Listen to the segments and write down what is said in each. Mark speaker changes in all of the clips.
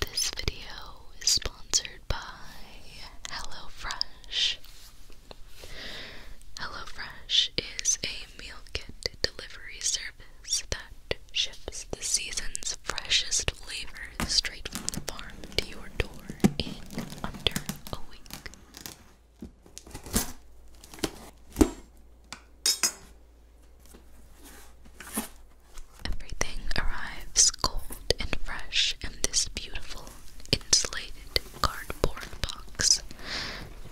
Speaker 1: This video is sponsored by HelloFresh. HelloFresh is a meal kit delivery service that ships the season's freshest flavors straight from the farm to your door in under a week. Everything arrives cold and fresh in this beautiful insulated cardboard box.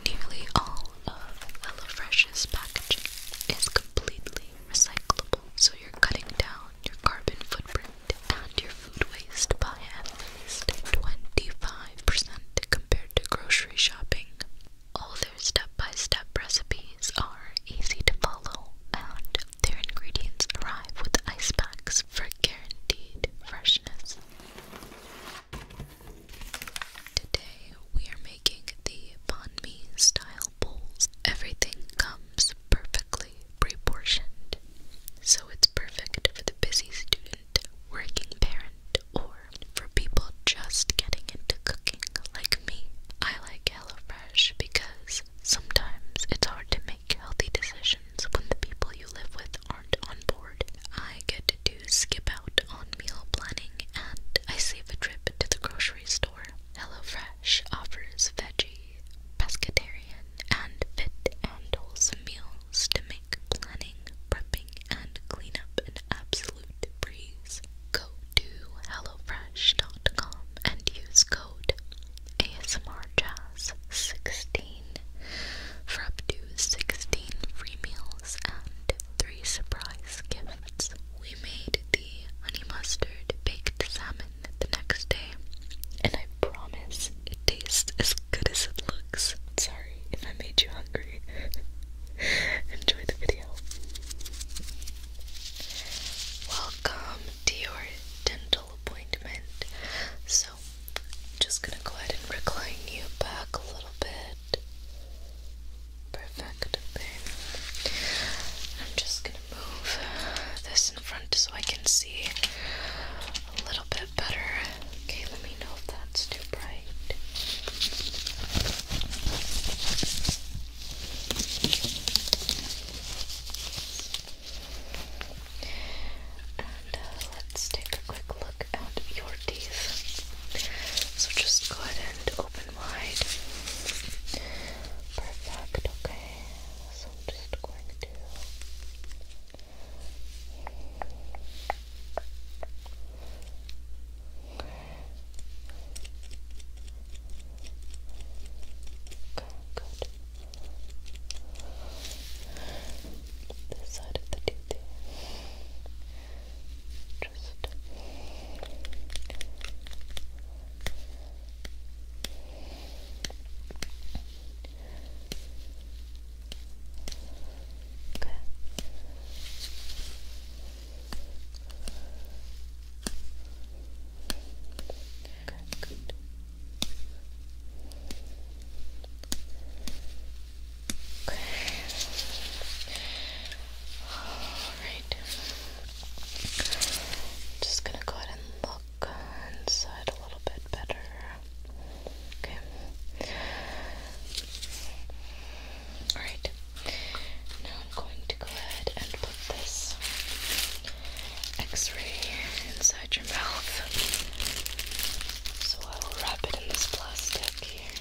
Speaker 1: Nearly all of HelloFresh's packaging is completely recyclable, so you're cutting down your carbon footprint and your food waste by at least 25% compared to grocery shopping. All their step-by-step recipes are easy to follow and their ingredients arrive with ice packs for guaranteed freshness. Today we are making the banh style bowls. Everything comes perfectly proportioned, so it's perfect for the busy student, working parent, or for people just getting into cooking like me. I like HelloFresh because sometimes it's hard to make healthy decisions when the people you live with aren't on board. I get to skip out on meal planning and I save a trip to the grocery store. HelloFresh offers veggie, pescatarian, and fit and wholesome meals to make planning, prepping, and up an absolute Absolute go to HelloFresh.com and use code ASMRJazz16 for up to 16 free meals and 3 surprise gifts. We made the honey mustard baked salmon the next day, and I promise it tastes as good as it looks. Sorry if I made you hungry. Enjoy the video. Welcome to your dental appointment. So, just gonna go ahead and recline you back a little bit. Perfect. I'm just gonna move this in front so I can see a little bit better. Okay, let me know if that's too bright. Uh, let's take a quick look at your teeth. So just go ahead and open wide. Perfect, okay. So I'm just going to. Okay, good. This side of the tooth Just Okay. Good. Okay. All just gonna go ahead and look inside a little bit better. Okay. All right. Now I'm going to go ahead and put this x-ray inside your mouth. So I will wrap it in this plastic here.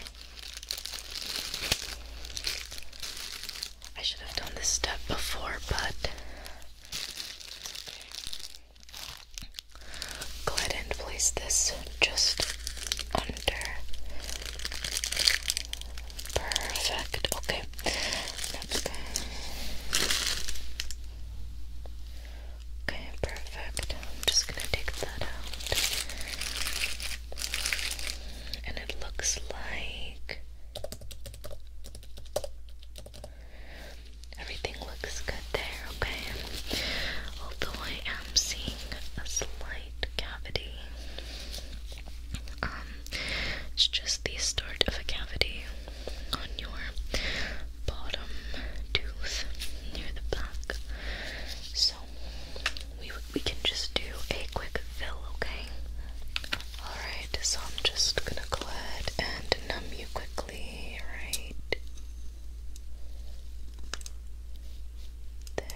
Speaker 1: I should have done this step before, but go ahead and place this just under Perfect. Okay. Next. Okay, perfect. I'm just gonna take that out. And it looks like everything looks good there, okay? Although I am seeing a slight cavity. Um, it's just the start of a cavity on your bottom tooth near the back. So we we can just do a quick fill, okay? All right. So I'm just gonna go ahead and numb you quickly, right? There.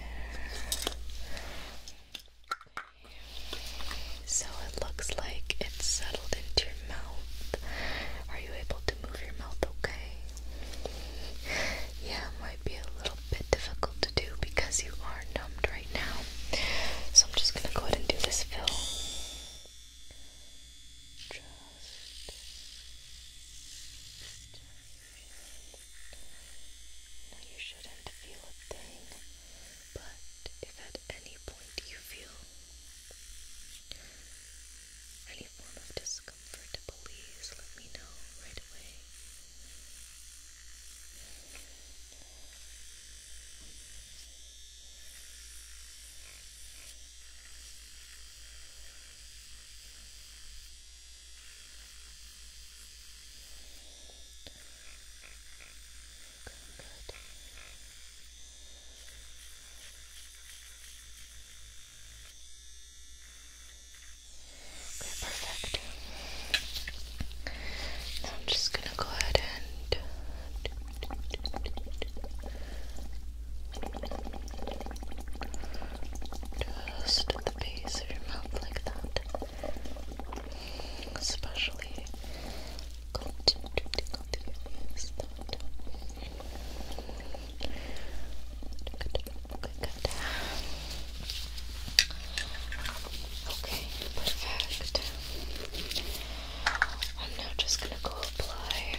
Speaker 1: So it looks like it's settled into your mouth. Are you able to move your mouth okay? Yeah, might be a little bit difficult to do because you are numbed right now. So I'm just gonna go ahead and do this fill. just no, you shouldn't feel a thing, but if at any point you feel any form of discomfort, please let me know right away. Okay, perfect. Now I'm just gonna go ahead and just the base of your mouth like that especially concentrating on the okay, perfect I'm now just gonna go apply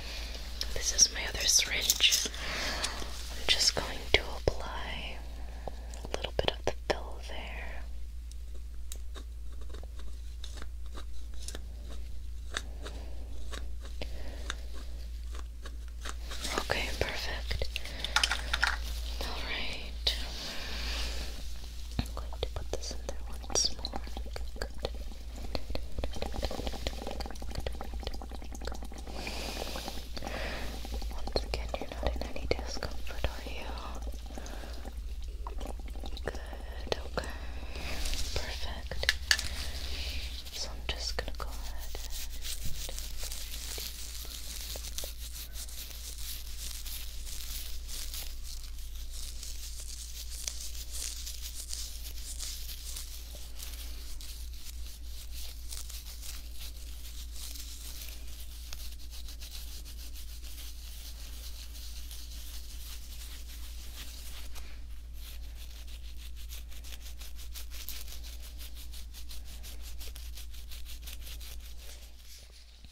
Speaker 1: this is my other syringe I'm just going to apply a little bit of the fill there. Okay, perfect. All right. I'm going to put this in there once more. Once again, you're not in any discomfort, are you? Good, okay. Perfect. So I'm just gonna go ahead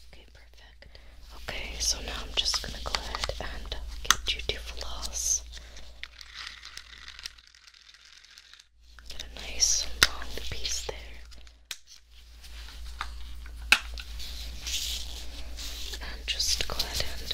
Speaker 1: Okay, perfect. Okay, so now I'm just gonna go ahead and get you to floss. Get a nice long piece there. And just go ahead and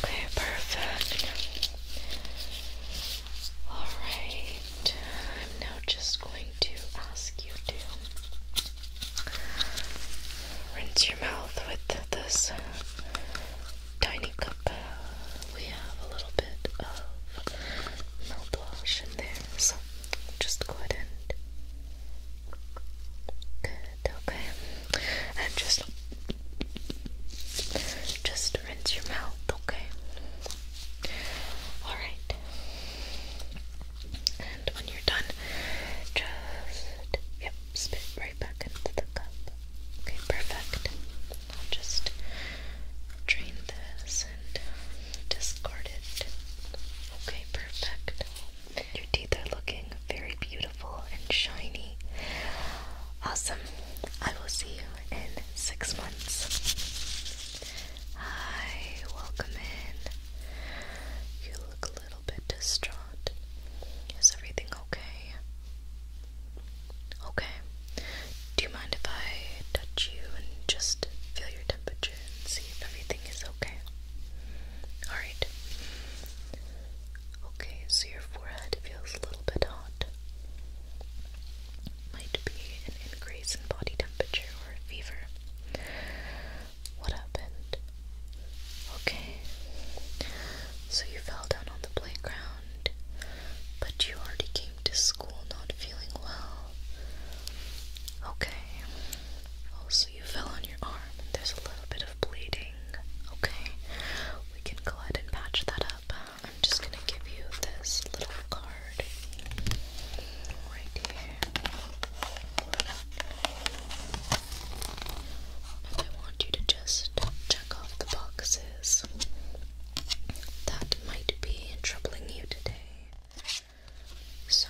Speaker 1: Okay, perfect. All right. I'm now just going to ask you to rinse your mouth with this tiny cup. We have a little bit of mouthwash in there, so just go ahead and. Good, okay. And just. Just rinse your mouth, okay? Alright. And when you're done, just yep, spit right back into the cup. Okay, perfect. just drain this and discard it. Okay, perfect. Your teeth are looking very beautiful and shiny. Awesome. I will see you in six months. Hi, welcome in. You look a little bit distraught. Is everything okay? Okay. Do you mind if I touch you and just feel your temperature and see if everything is okay? Alright. Okay, so your forehead feels a little bit hot. Might be an increase in body temperature or fever. What happened? Okay. So you fell down on the playground, but you already came to school not feeling well. Okay. Also, oh, you fell on your arm there's a little bit of bleeding. Okay. We can go ahead and patch that up. I'm just gonna give you this little card right here. And I want you to just check off the boxes that might be troubling you today. So,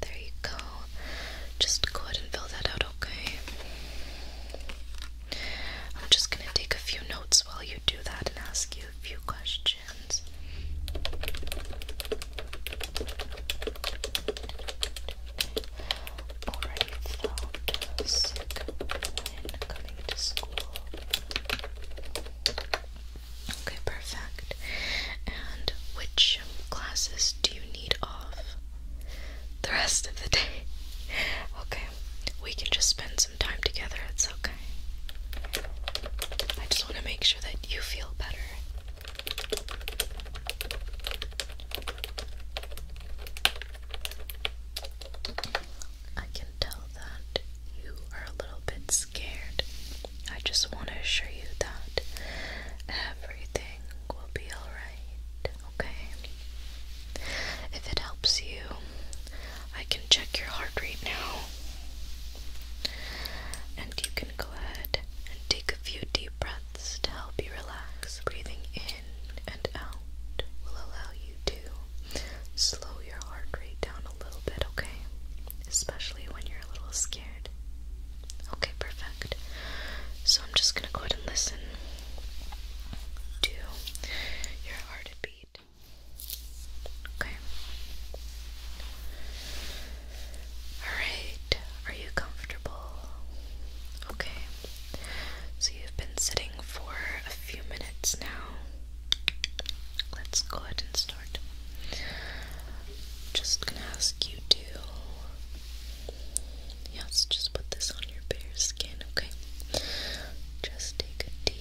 Speaker 1: there you go. Just go ahead and fill that out, okay? I'm just going to take a few notes while you do that and ask you a few questions. Already felt sick coming to school. Okay, perfect. And which classes do you need off the rest of the day? Okay, we can just spend some time together. It's okay. I just want to make sure that you feel better. I can tell that you are a little bit scared. I just want to assure you that everything will be alright, okay? If it helps you, I can check your heart rate now. And you can go ahead and take a few deep breaths to help you relax. Breathing in and out will allow you to slow your heart rate down a little bit, okay? Especially when you're a little scared. Okay, perfect. So I'm just gonna go ahead and listen to your heartbeat. Okay. Alright, are you comfortable? Okay. So you've been sitting for a few minutes now. Let's go ahead and start. Just gonna ask you to. Yes, just put this on your bare skin, okay? Just take a deep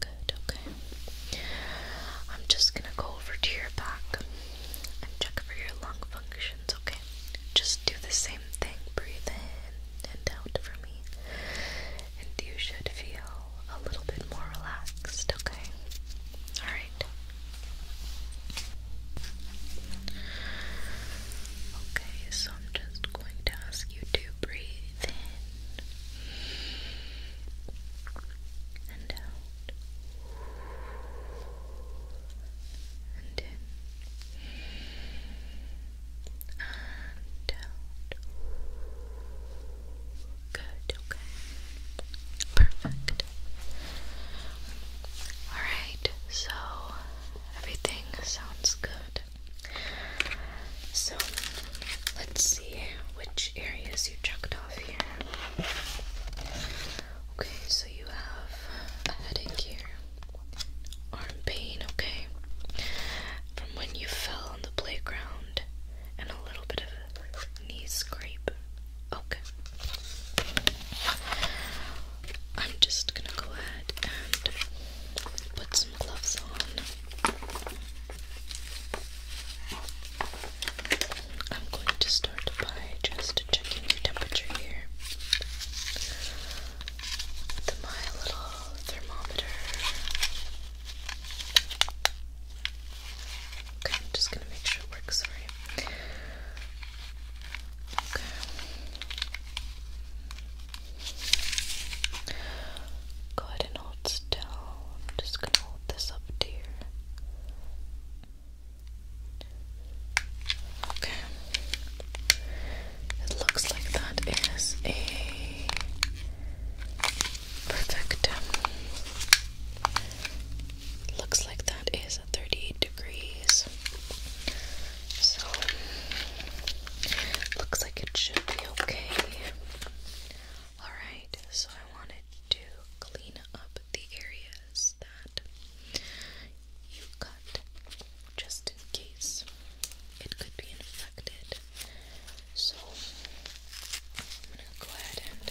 Speaker 1: Good, okay. I'm just gonna go over to your back and check for your lung functions, okay? Just do the same thing. Breathe in and out for me. And you should feel a little bit more relaxed, okay? Alright. Okay, so I'm just going to ask you to breathe in and out and in and out. Good, okay. Perfect. Alright, so everything sounds good. So let's see which areas you checked off here. Okay, so you have headache here, arm pain, okay, from when you fell on the playground, and a little bit of knee scrape. Okay. I'm just gonna go ahead and put some gloves on. I'm going to start by just checking your temperature here. With my little thermometer. Okay, I'm just gonna make sure it works for Okay. Go ahead and hold still. i just gonna hold this up to Okay. It looks like that is a perfect. Um, looks like that is a 38 degrees. So looks like it should be okay. Alright, so I wanted to clean up the areas that you cut just in case it could be infected. So I'm going to go ahead and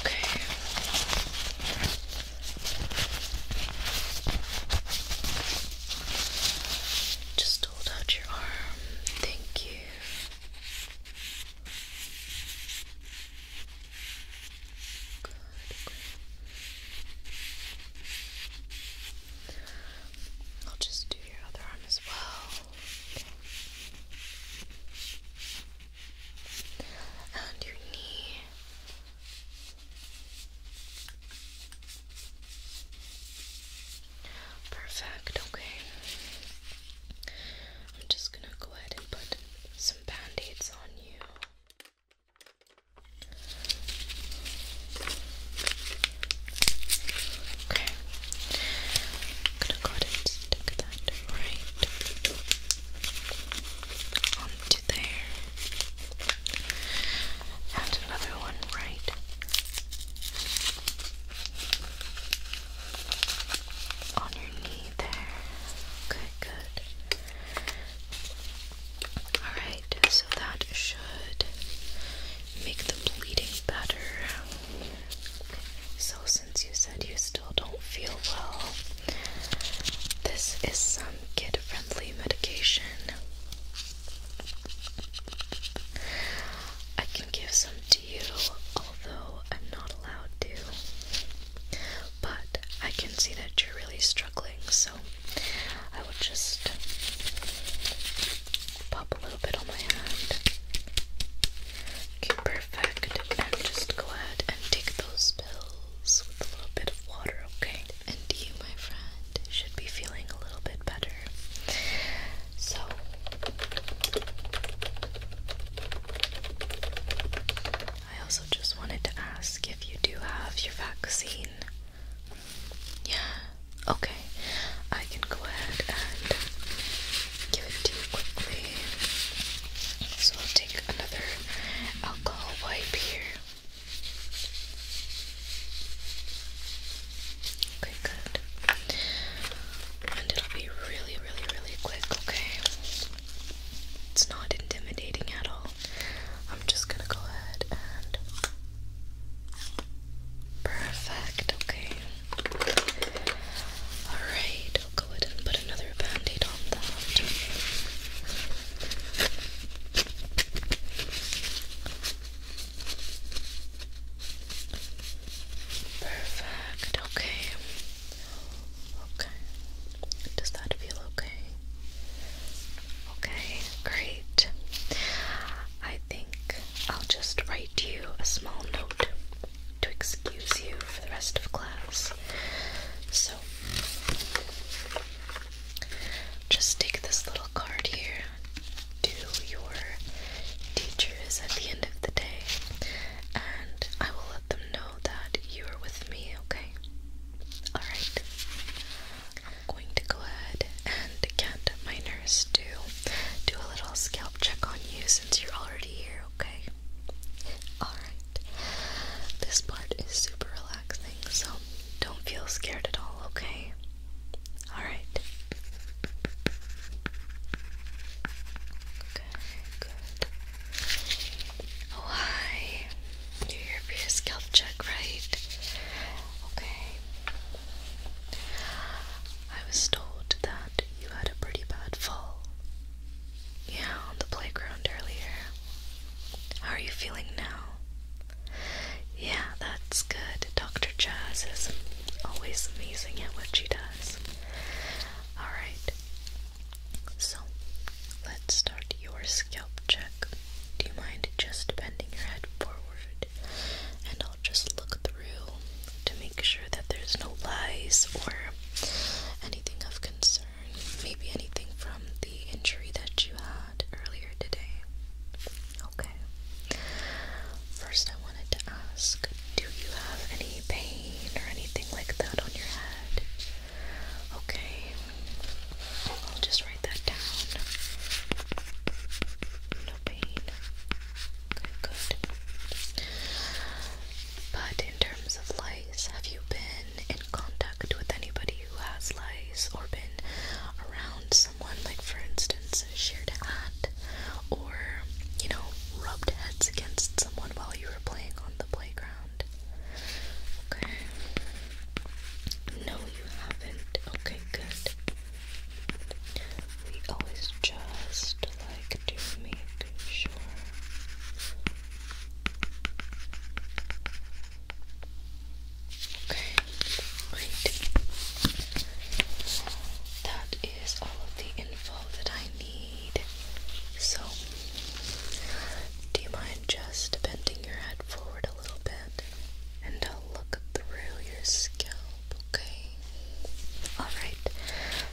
Speaker 1: Okay. Just hold out your arm. Thank you. I'll just do your other arm as well. And your knee. Perfect, okay. I'm just gonna go ahead and put some band aids on you. Okay. I'm gonna go ahead and stick that right onto there. And another one right. On your knee there. Okay, good. Alright, so that should make the bleeding better. So, since you said you still don't feel well, this is some kid friendly medication. I can give some to you, although I'm not allowed to. But I can see that you're really struggling, so I will just pop a little bit on my hand. perfect. And just go ahead and take those pills with a little bit of water, okay? And you, my friend, should be feeling a little bit better. So. I also just wanted to ask if you do have your vaccine yeah, okay. I can go ahead and give it to you quickly. So I'll take another alcohol wipe here. Okay, good. And it'll be really, really, really quick, okay? It's not intimidating at all. I'm just gonna go ahead and Perfect, okay. Alright, I'll go ahead and put another band aid on that. Perfect, okay. Okay. Does that feel okay? Okay, great. I think I'll just write you a small note to excuse you for the rest of class. So, just take this little card here to your teachers at the end of the day, and I will let them know that you are with me, okay? Alright going to go ahead and get my nurse to do a little scalp check on you since you're already here, okay? Alright. This part is super relaxing, so don't feel scared at all, okay? Alright. Okay, good. Oh, hi. You're here for your scalp check, right? Okay. I was told that you had a pretty bad fall. Yeah, on the playground earlier. How are you feeling now? Yeah, that's good. Dr. Jazz is always amazing at what she does. Alright, so let's start your scalp check. Do you mind just bending your head forward and I'll just look through to make sure that there's no lies or anything of concern. Maybe anything from the injury that you had earlier today. Okay. First, I wanted to ask do you have any pain or anything like that on your head? Okay. I'll just write that down. But in terms of lice, have you been in contact with anybody who has lice or been around someone, like for instance, shared a hat or, you know, rubbed heads against someone while you were playing on the playground? Okay. No, you haven't. Okay, good. We always just like to make sure Okay, great. That is all of the info that I need. So, do you mind just bending your head forward a little bit and I'll look through your scalp, okay? Alright,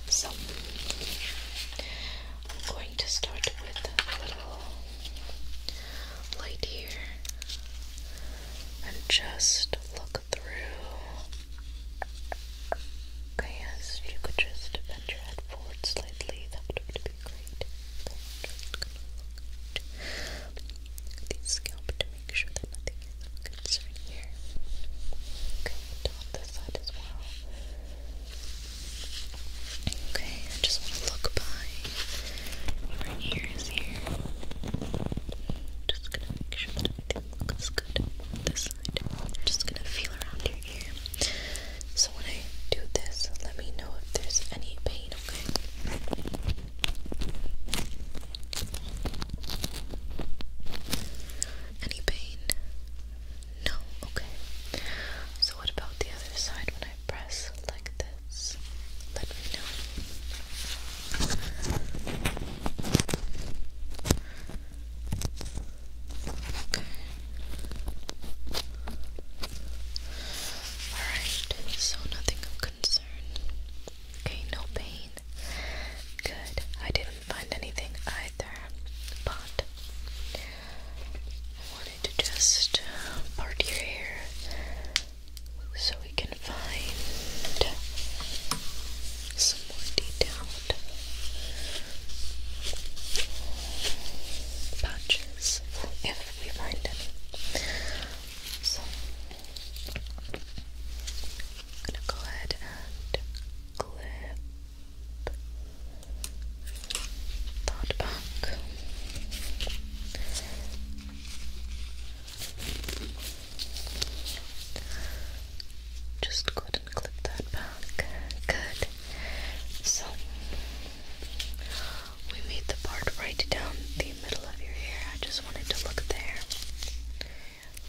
Speaker 1: so I'm going to start with a little light here and just look through. Okay, yes, you could just bend your head forward slightly, that would be great. Just gonna look at the scalp make sure that nothing is of concern here. Okay, on this side as well. Okay, I just want to look by your ears here. Just gonna make sure that everything looks good this side. just gonna feel around your ear. So when I do this, let me know if there's any pain, okay? Any pain? No? Okay. So, what about the other side when I press like this? Let me know. Okay. Alright, so nothing Okay, no pain. Good. I didn't find anything either, but I wanted to just uh, part your hair so we can find some more detailed patches if we find any. So I'm gonna go ahead and clip that back. Just go ahead and clip that back. Good. So we made the part right down the middle of your hair. I just wanted to look there.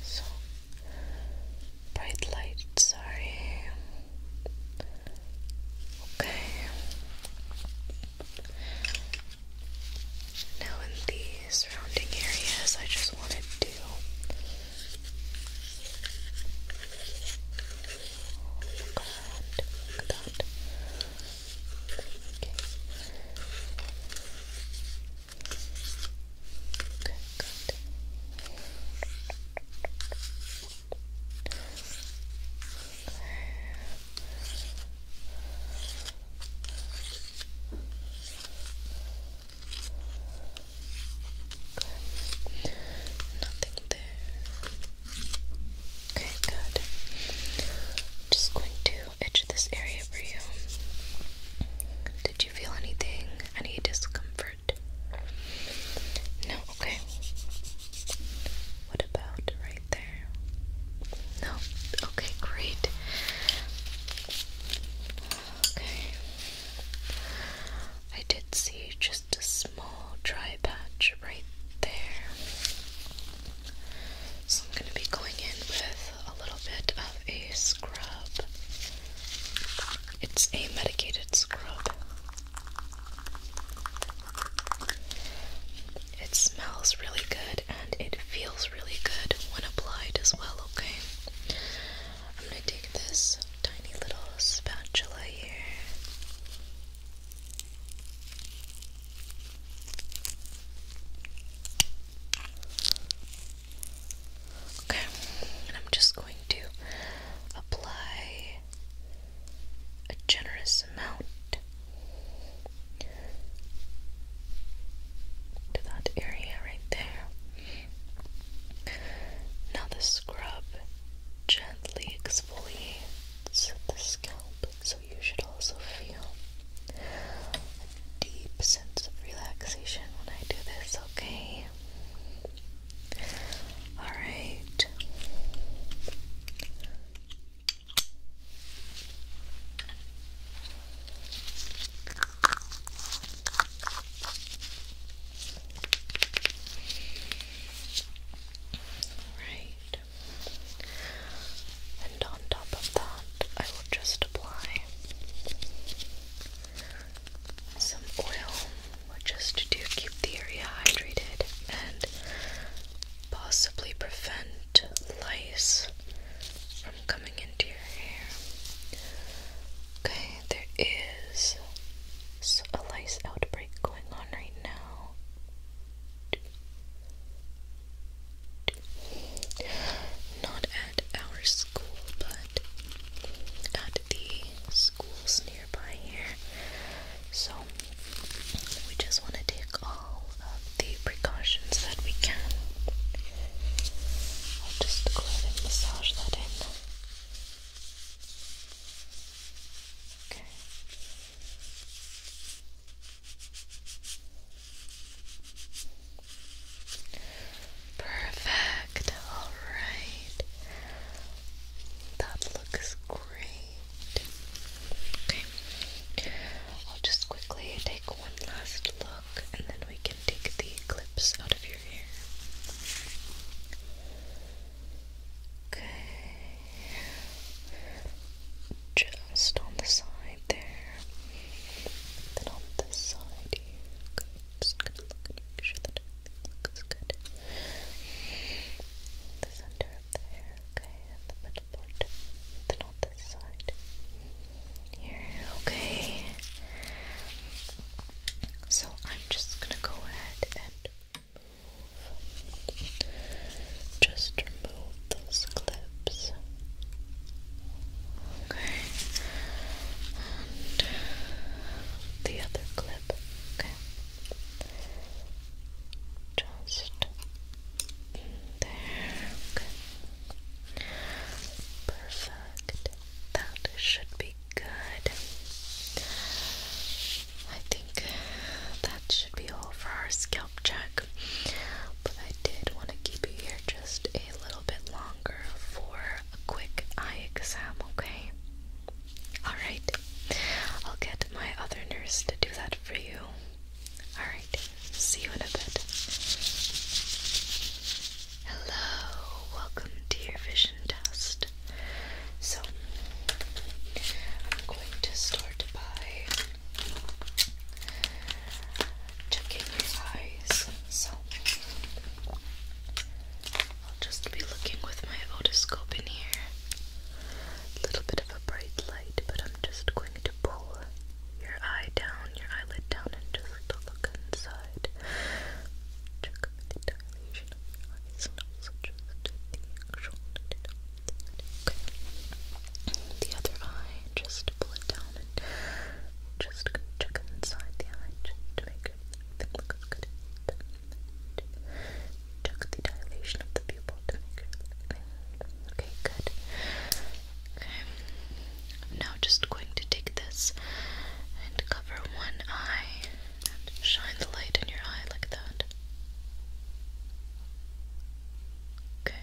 Speaker 1: So, bright light, sorry. Okay. Now, in the surrounding areas, I just wanted to. Look around, look at that. Okay. Okay, good. Nothing there. Okay, good. just going to itch this area for you? Did you feel anything? Any discomfort? No? Okay. What about right there? No? Okay, great. Okay. I did see just a small dry patch right there. So I'm going to be going in with a little bit of a scrub. It's a medicated scrub. It smells really good and it feels really good when applied as well, okay? I'm going to take this tiny little spatula here Okay, I'm just going to apply a generous amount to that area right there. Now the scrub gently exfoliates the scalp you should also feel a deep sense of relaxation when I do this, okay? Alright. Alright. And on top of that, I will just apply some oil just to keep the area hydrated and possibly prevent lice from coming into your hair. Okay, there is a lice outbreak going on right now. Not at our school, but at the schools nearby here. So we just want to take all of the precautions that we can. i just go ahead and massage that in. Okay. Perfect, all right. That looks great. Okay, I'll just quickly take one last look and then we can take the clips out of your hair. Okay. Just on the side there. Then on this side here. just gonna make sure that everything looks good. The center of the okay, and the middle part. Then on this side. Here, okay. So I'm just gonna go ahead and just remove those clips. Okay. And the other clip. Okay. Just there. Perfect. That should be good. I that should be all for our scalp check. But I did want to keep you here just a little bit longer for a quick eye exam, okay? Alright, I'll get my other nurse to do that for you. Alright, see you in a bit. Hello, welcome to your vision test. So, I'm going to start by checking your eyes. So I'll just be looking with my otoscope in here. A little bit of a bright light, but I'm just going to pull your eye down, your eyelid down, and just look inside. Check the dilation of your eyes and also the actual the other eye, just pull it down and just check inside the eye to make everything look good. Check the dilation of the pupil okay. Good. Okay. I'm now just going to take this and cover one eye and shine the light in your eye like that. Okay.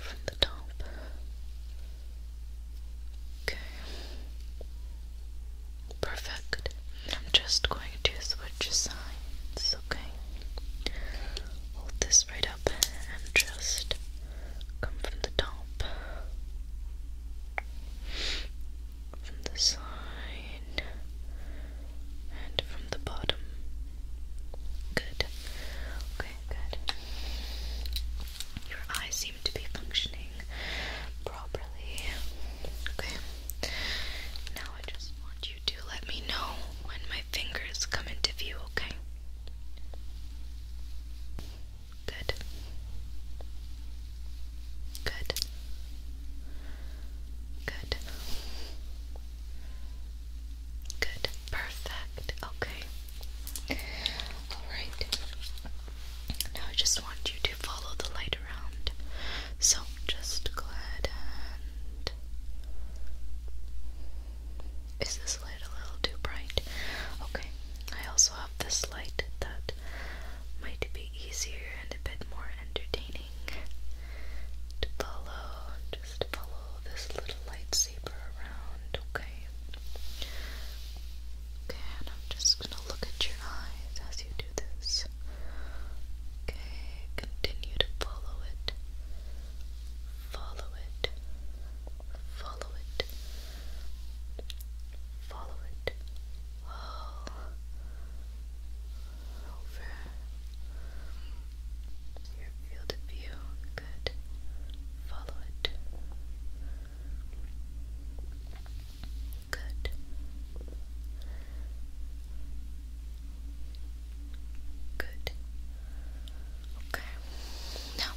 Speaker 1: From the top. Okay. Perfect. I'm just going to switch sides, okay? Hold this right up and just come from the top. From the side and from the bottom. Good. Okay, good. Your eyes seem to be functioning properly. Okay. Now I just want you to let me know when my fingers come into view, okay? Good. Good. Good. Good. Perfect. Okay. Alright. Now I just want you to follow the light around. So just go ahead and. Is this light a little too bright? Okay. I also have this light that might be easier and a bit more entertaining to follow, just follow this little lightsaber around, okay? Okay, and I'm just gonna look at your eyes as you do this. Okay, continue to follow it. Follow it. Follow it. Follow it. Oh over your field of view good follow it good good okay now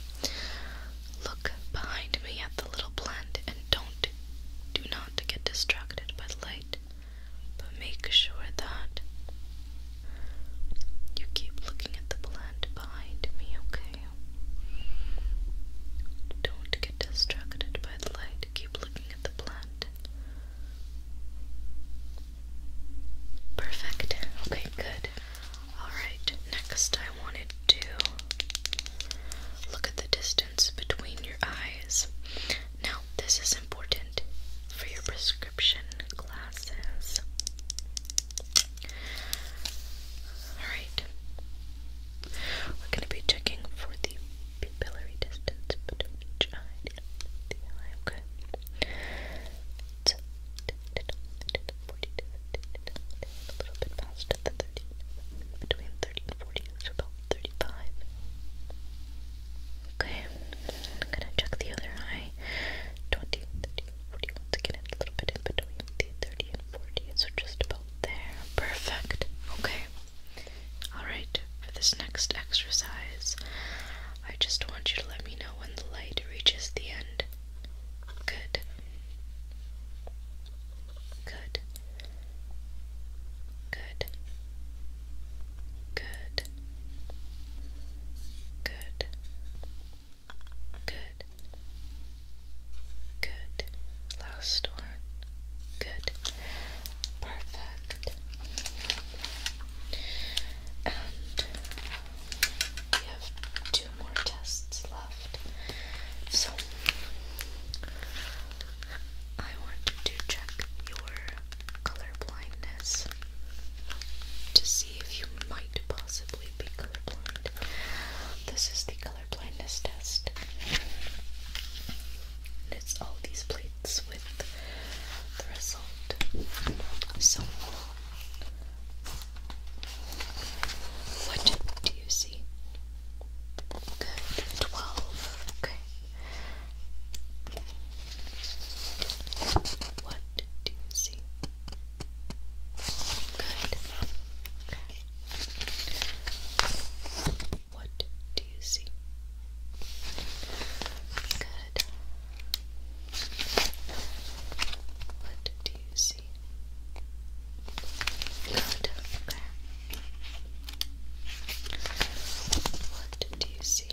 Speaker 1: look behind me at the little plant and don't do not get distracted by light but make sure that you keep looking at the plant behind me, okay? Don't get distracted by the light, keep looking at the plant. Perfect. Okay, good. Alright, next I wanted to look at the distance between your eyes. Now, this is important for your prescription glasses. Alright, we're going to be checking for the pupillary distance between each eye and the eye, okay? So, a little bit past the 30, between 30 and 40, 35. Okay, I'm gonna check the other eye. 20, Once again, it's a little bit in between 30 and 40, so just about there. Perfect. Okay. Alright, for this next exercise, I just want you to let me know when the light reaches the end. Good. Good. Good. Good. Good. Good. Good. Last one. Good. Perfect. we have two more tests left. So I want to check your color blindness to see if you might possibly be colorblind. This is the color blindness test. it's all these plates with the result. So what do you see? Good. Twelve. Okay. What do you see? Good. What do you see? Good. What do you see? Good. What do you see?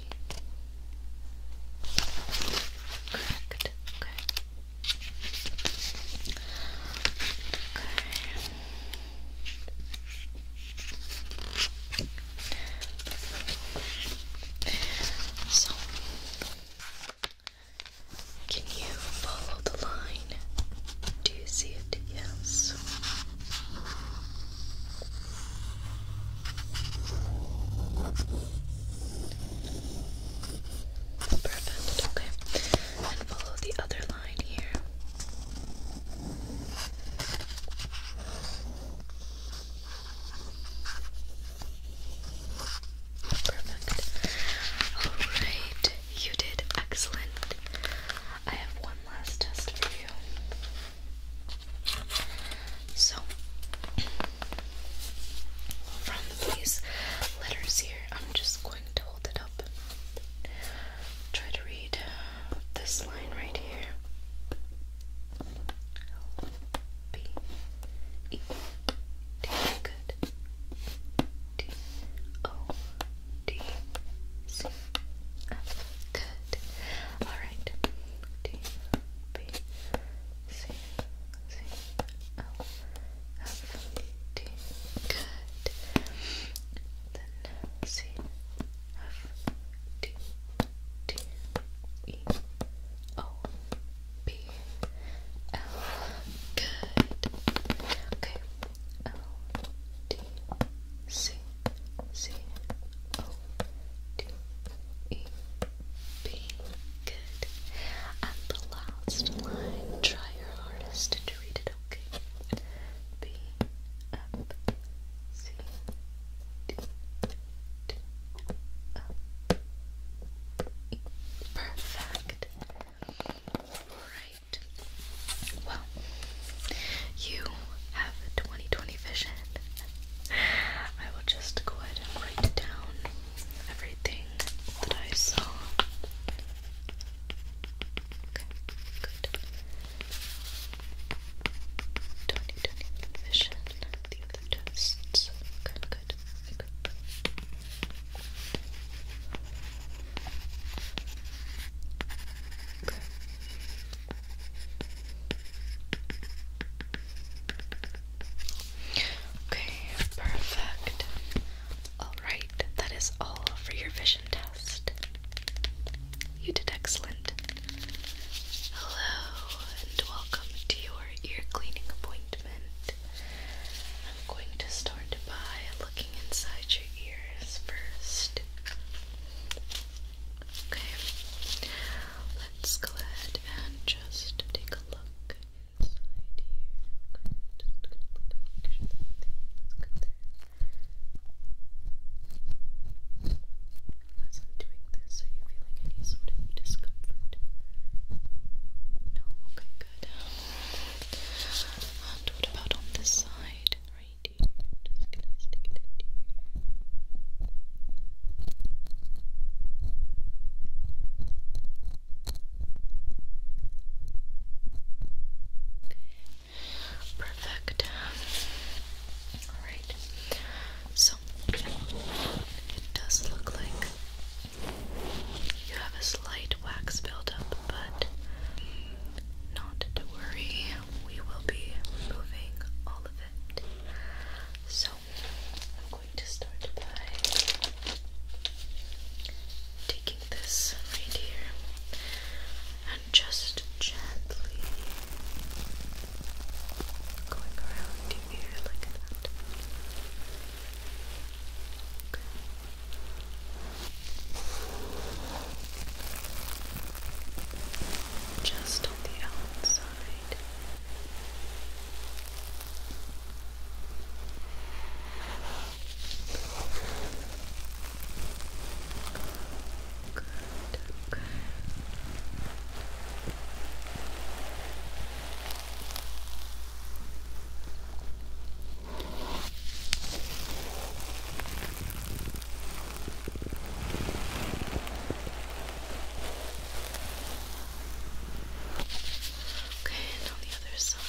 Speaker 1: Correct. Okay. So, can you follow the line? Do you see it? Yes. Perfect, okay. And follow the other line here. Perfect. Alright, you did excellent. I have one last test for you. So, from these letters here, I'm just going to hold it up. Try to read this line right here. L B E D good D O D, C, F. Good. Alright. D, B, C, C, L, F, D. Good. Then C, F, D, D, E, O, B, L. Good. Okay. L D C C O D E B. Good. And the last line, try your hardest to read it, okay? B F C D D L E. Perfect. Right gift? Well, you have 2020 vision. I will just go ahead and write down everything that I saw. 2020 vision, the other tests. Good, good, good. Okay, perfect. Alright, that is all for your vision test. You did excellent. Hello, and welcome to your ear cleaning appointment. I'm going to start by looking inside your ears first. Okay, let's go ahead and just take a look inside here. Just take a look and make sure that everything looks good there. As I'm doing this, are you feeling any sort of discomfort? No? Okay, good. what about on this side? Right Perfect. Alright. So it does look like you have a slight wax buildup, but not to worry we will be removing all of it. So I'm going to start by taking this right here and just gently going around your ear like that just on the outside. Good, good. Okay, and on the other side.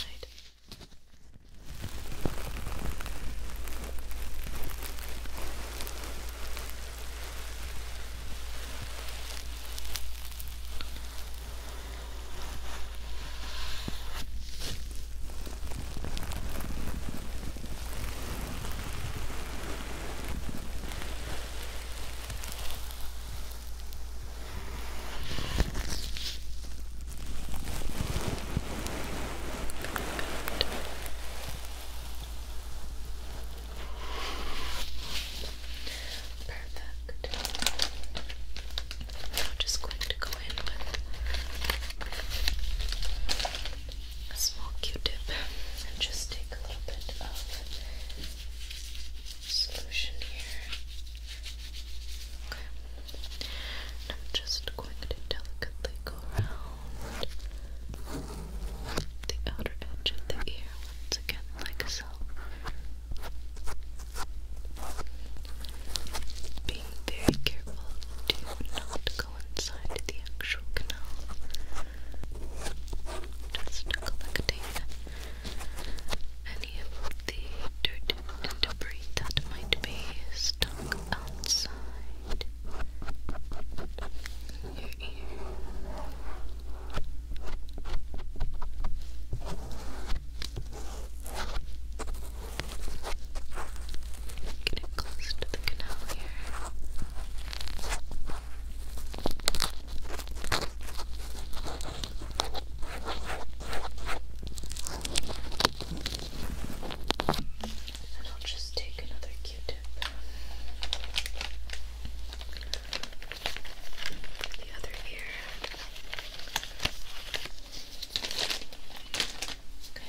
Speaker 1: Perfect. Now just go to go in with a small q-tip and just take a little bit of solution here. I'm just going to delicately go around the outer edge of the ear once again, like so. Be very careful to not go inside the actual canal. Just collecting any of the dirt and debris that might be stuck outside your ear. Getting close to the canal here. I'll just take another Q-tip. The other ear. Okay.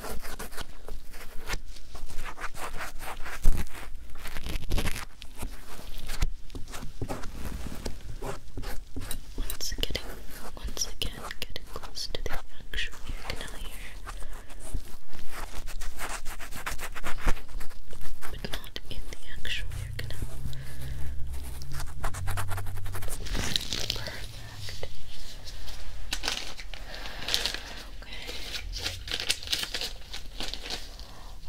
Speaker 1: Once getting again getting close to the actual canal here. But not in the actual ear canal. Perfect. Okay.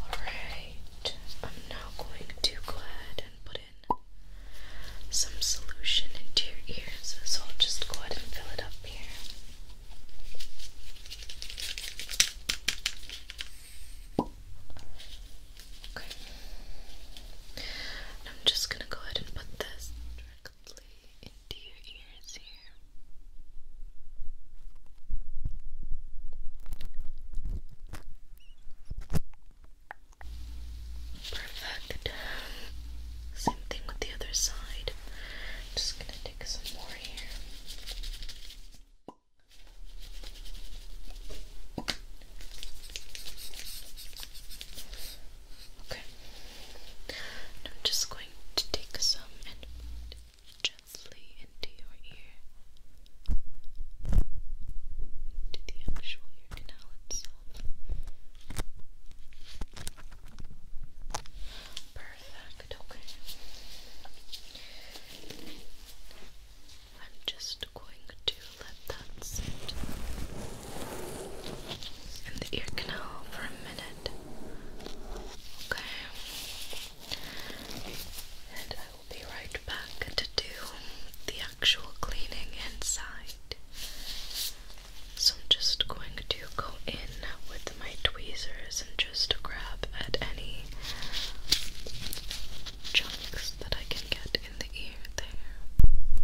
Speaker 1: Alright. I'm now going to go ahead and put in some solution into your ears. So I'll just go ahead and fill it up here. Okay. I'm just gonna go ahead and put this directly your ears Perfect. Same thing with the other side. Just gonna take some more here. Okay. I'm just going to take some and gently into your ear. To the actual ear canal itself. Perfect, okay. I'm just going to let that sit in the ear canal for a minute. Okay. And I will be right back to do the actual cleaning inside. So I'm just going to go in with my tweezers and just grab at any chunks that I can get in the ear there.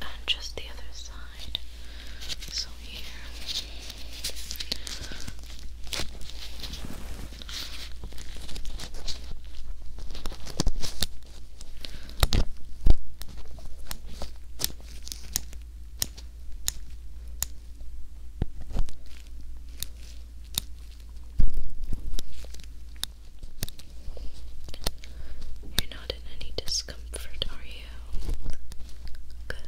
Speaker 1: And just the other side. So here. You're not in any discomfort, are you? Good.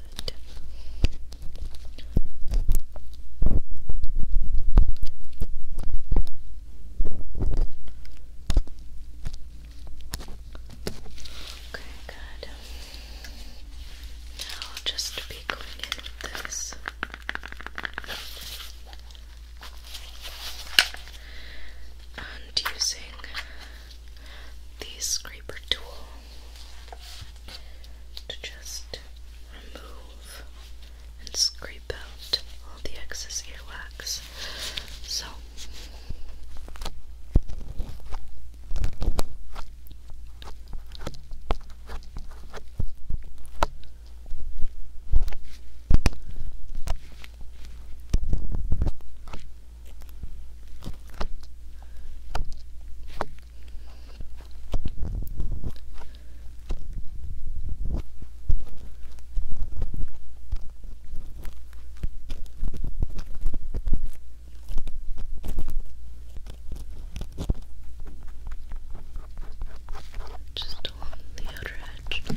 Speaker 1: Okay, good. I'll just be going this. And using the scraper tool to just remove and scrape worry all the excess earwax. So, just along the outer edge.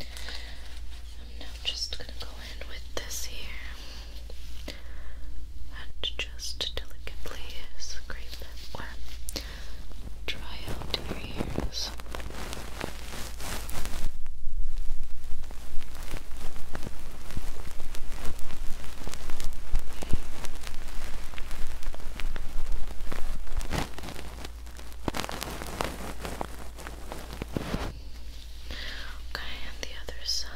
Speaker 1: I'm now just gonna go in with this here and just delicately scrape or dry out your ears. Okay, and the other side.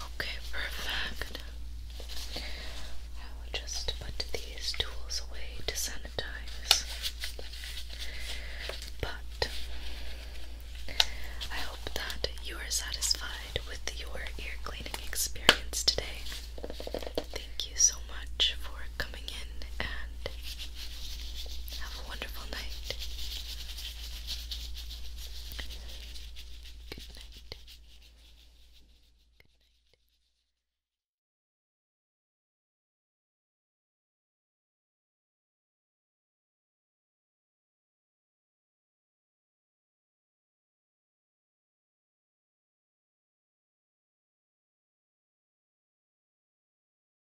Speaker 1: Okay, perfect. I will just put these tools away to sanitize. But I hope that you are satisfied with your ear cleaning experience today. Thank you so much for coming in and have a wonderful night. Good night. Good night.